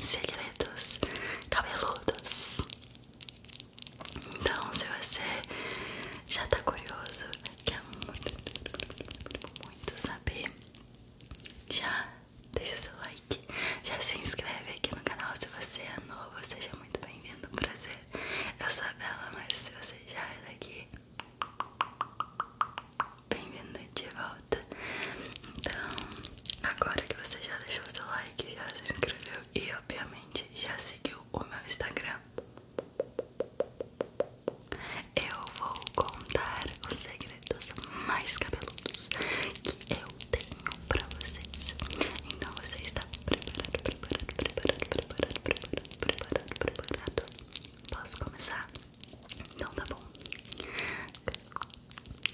segredos cabeludos. Então, se você já tá curioso, quer muito, muito saber, já deixa o seu like, já se inscreve aqui no canal. Se você é novo, seja muito bem-vindo, um prazer. Eu sou a Bela, mas se você já é daqui, bem-vindo de volta. Então, agora que você já deixou seu like, já se inscreveu e obviamente já seguiu o meu Instagram, eu vou contar os segredos mais cabeludos que eu tenho pra vocês. Então você está preparado, preparado, preparado, preparado, preparado, preparado, preparado. Posso começar? Então tá bom.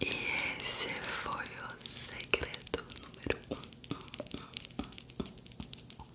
E esse foi o segredo número um.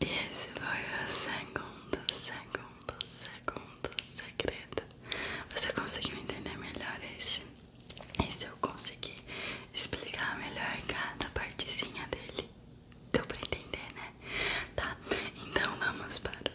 Esse foi o segundo, segundo, segundo segredo. Você conseguiu entender melhor esse? se eu conseguir explicar melhor cada partezinha dele. Deu pra entender, né? Tá, então vamos para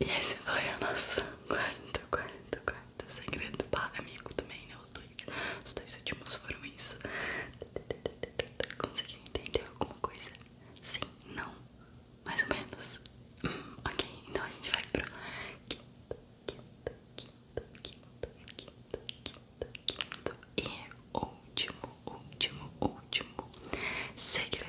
E esse foi o nosso quarto, quarto, quarto segredo para amigo também, né? Os dois, os dois últimos foram Conseguiu entender alguma coisa? Sim, não, mais ou menos. Hum, ok, então a gente vai pro quinto, quinto, quinto, quinto, quinto, quinto e é último, último, último segredo.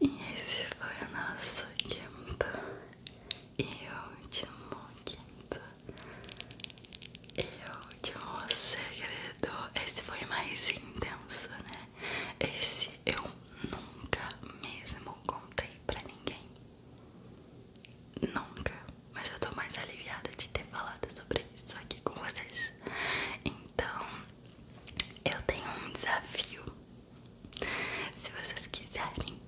E esse foi o nosso quinto e último quinto e último segredo. Esse foi mais intenso, né? Esse eu nunca mesmo contei pra ninguém. Nunca, mas eu tô mais aliviada de ter falado sobre isso aqui com vocês. Então, eu tenho um desafio. Se vocês quiserem,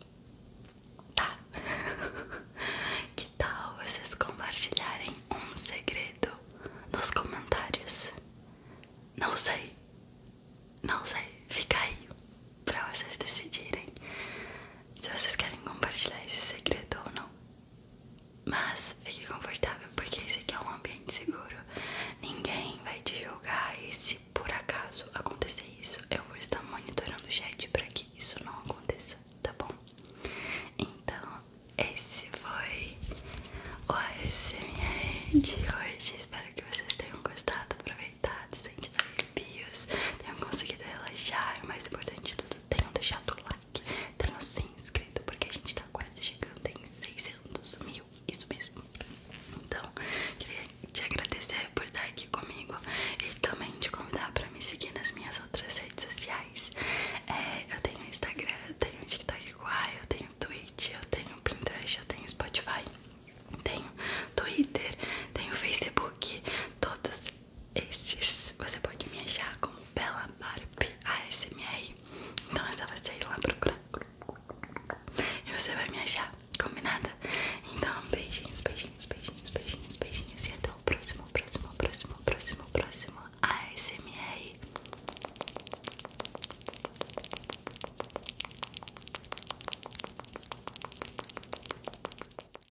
tá? que tal vocês compartilharem um segredo nos comentários? Não sei, não sei, fica aí pra vocês decidirem se vocês querem compartilhar esse segredo ou não. Mas fique confortável porque esse aqui é um ambiente seguro. Ninguém vai te julgar e se por acaso acontecer isso, eu vou estar monitorando o chat para que isso não aconteça, tá bom? Então, esse foi o ASMR de hoje. Espero que vocês tenham gostado, aproveitado, sentido arrepios, tenham conseguido relaxar o mais importante de tudo tenham deixado o like, tenham se inscrito, porque a gente tá quase chegando em 600 mil, isso mesmo. Então, queria te agradecer por estar aqui comigo e também te convidar pra me seguir nas minhas outras redes sociais. É, eu tenho Instagram, eu tenho TikTok igual, eu tenho Twitch, eu tenho Pinterest, eu tenho Spotify, tenho Twitter, tenho Facebook, todos esses você pode me achar como Bella Barbie ASMR. Então é só você ir lá procurar. E você vai me achar, combinada? Então, beijinhos, beijinhos, beijinhos, beijinhos, beijinhos. E até o próximo, próximo, próximo, próximo, próximo ASMR.